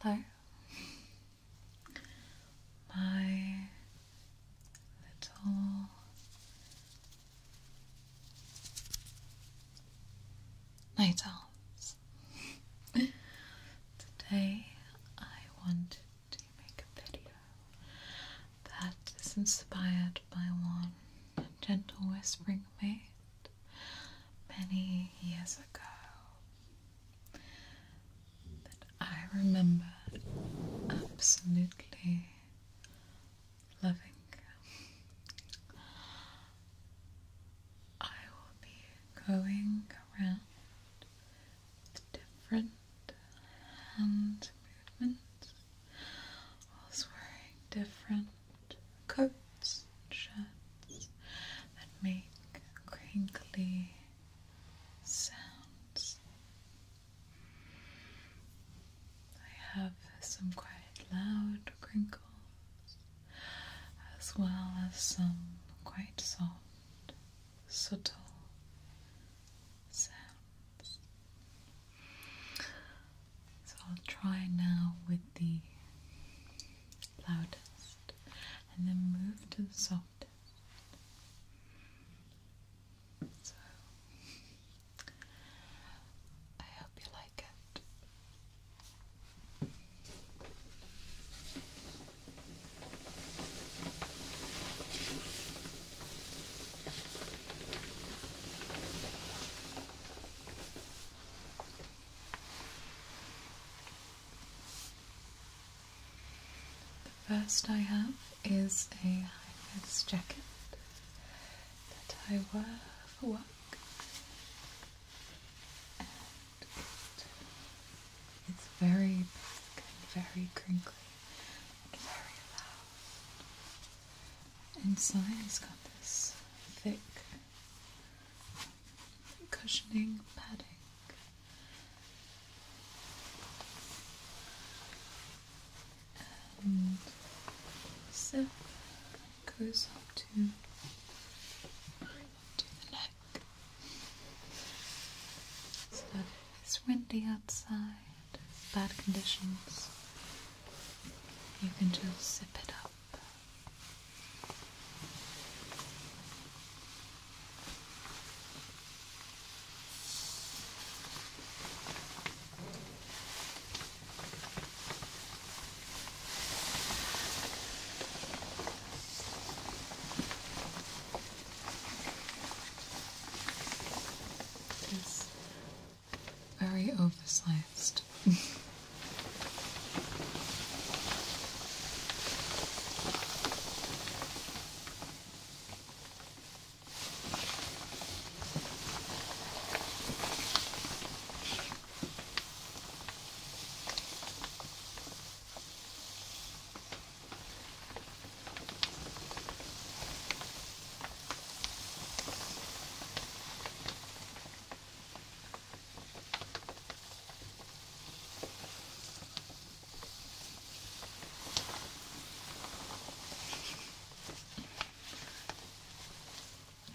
Hello, my little night owls. Today I wanted to make a video that is inspired by one gentle whispering made many years ago that I remember absolutely loving. I will be going around with different hand movements, whilst wearing different coats and shirts that make crinkly sounds. I have some quite loud crinkles as well as some quite soft, subtle sounds. So I'll try now with the loudest and then move to the softest. So I hope you like it. The first I have is a high-vis jacket that I wear for work it's very big and very crinkly and very loud Inside's got this thick cushioning padding. And zip goes up to, the neck. it's windy outside bad conditions, you can just zip it up. This very oversized.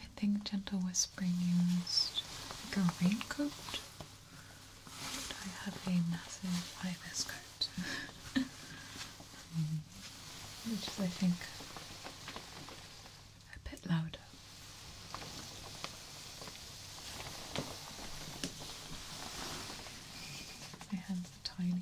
I think gentle whispering used like a raincoat. I have a massive hibiscus. which is, I think, a bit louder. My hands are tiny.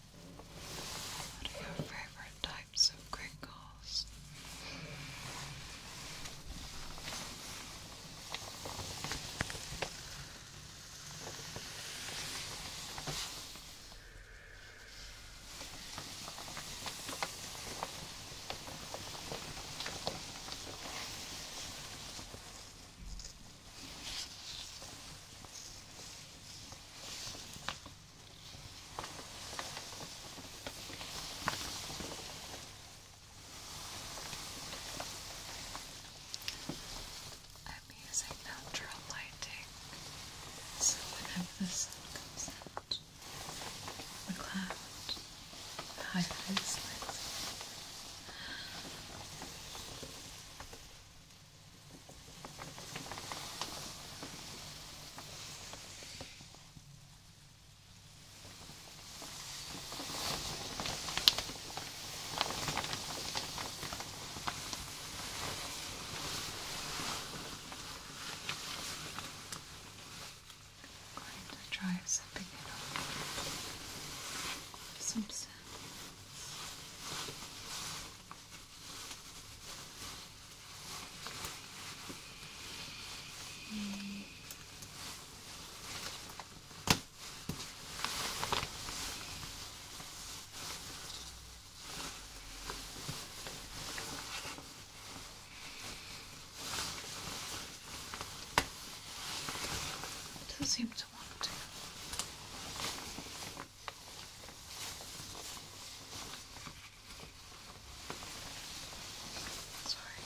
What are your favorite types of crinkles? I'm using natural lighting, so whenever the sun comes out, the cloud highlights it. I'm going to try something it off. Some sounds. It doesn't seem to want to. Sorry. Okay.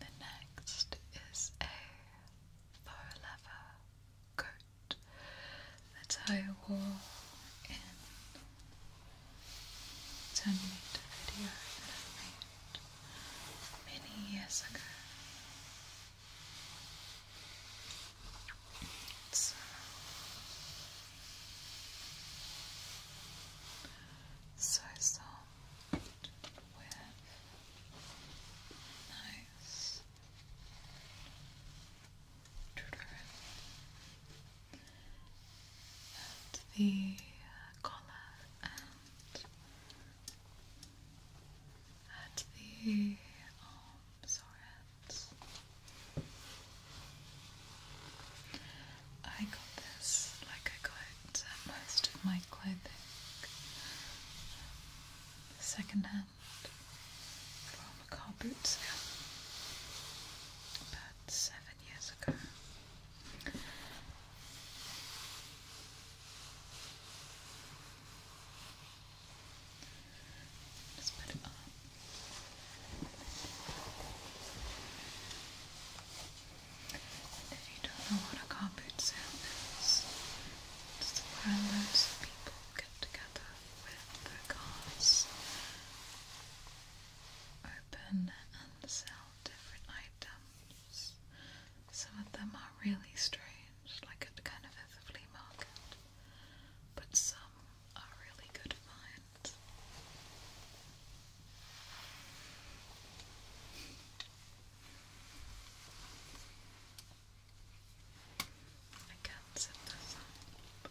The next is a fur leather coat that I wore in ten video many years ago. So, soft with nice and the uh, collar and at the arms um, I got this like I got uh, most of my clothing secondhand from a car boot sale about seven years ago. Just If you don't know what a carpet sale is, it's where loads of people get together with their cars, open and sell different items. Some of them are really strange, like it kind of flea market, but some are really good finds. I can't set this up.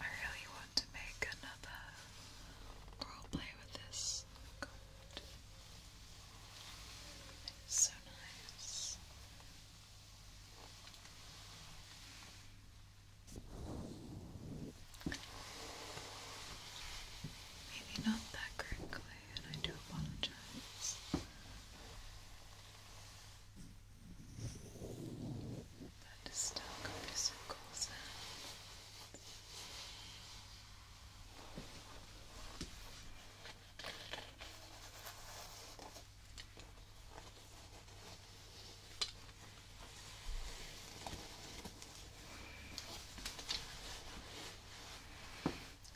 I really want to make another roleplay with this coat. It's so nice. Maybe not that quickly, and I do apologize. That is still going to be some cool sounds.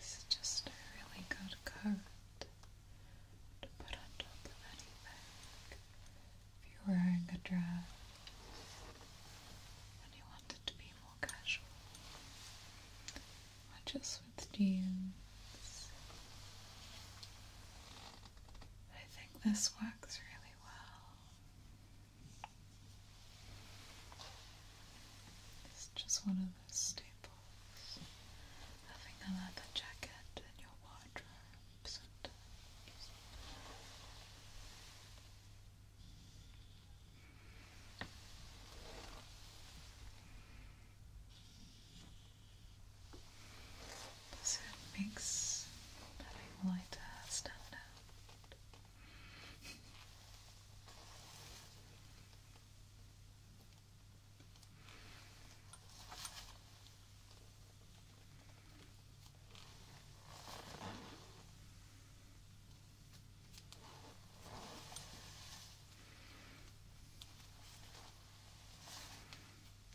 This is just a really good coat to put on top of anything. If you're wearing a dress and you want it to be more casual, just with jeans, I think this works really well. It's just one of those staples. Having a leather jacket in your wardrobe so it makes having lighter stand out.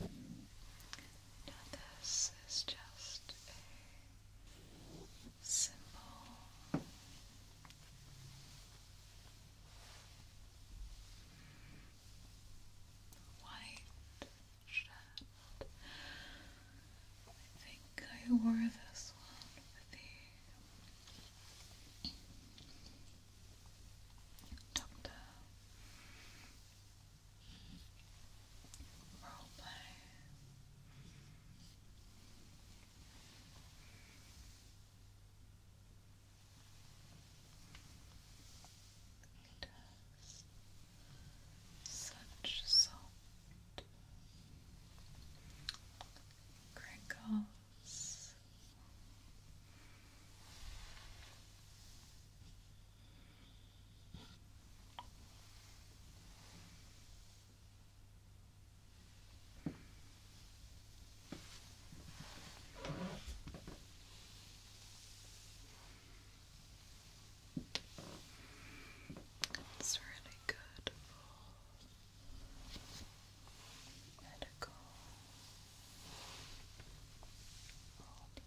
Now this is just a simple. White shirt. I think I wore this one with the doctor roleplay. It such soft crinkles. It's really good for medical problems.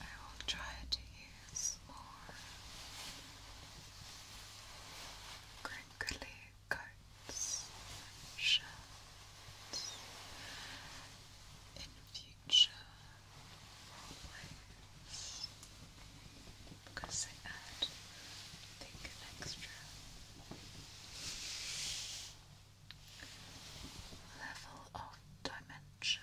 I will try to use more crinkly coats and shells in future because I add an extra level of dimension.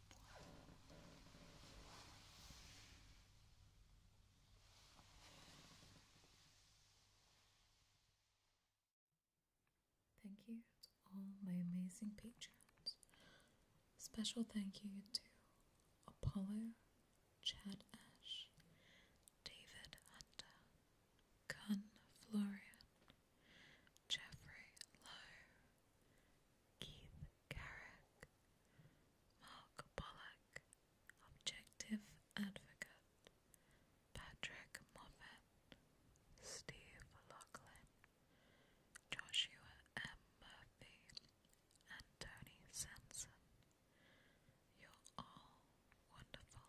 Thank you to all my amazing patrons. Special thank you to Apollo, Chad Ash, David Hunter, Gunn Florian, Jeffrey Lowe, Keith Carrick, Mark Pollack, Objective Advocate, Patrick Moffat, Steve Lachlan, Joshua M. Murphy, and Tony Sanson. You're all wonderful.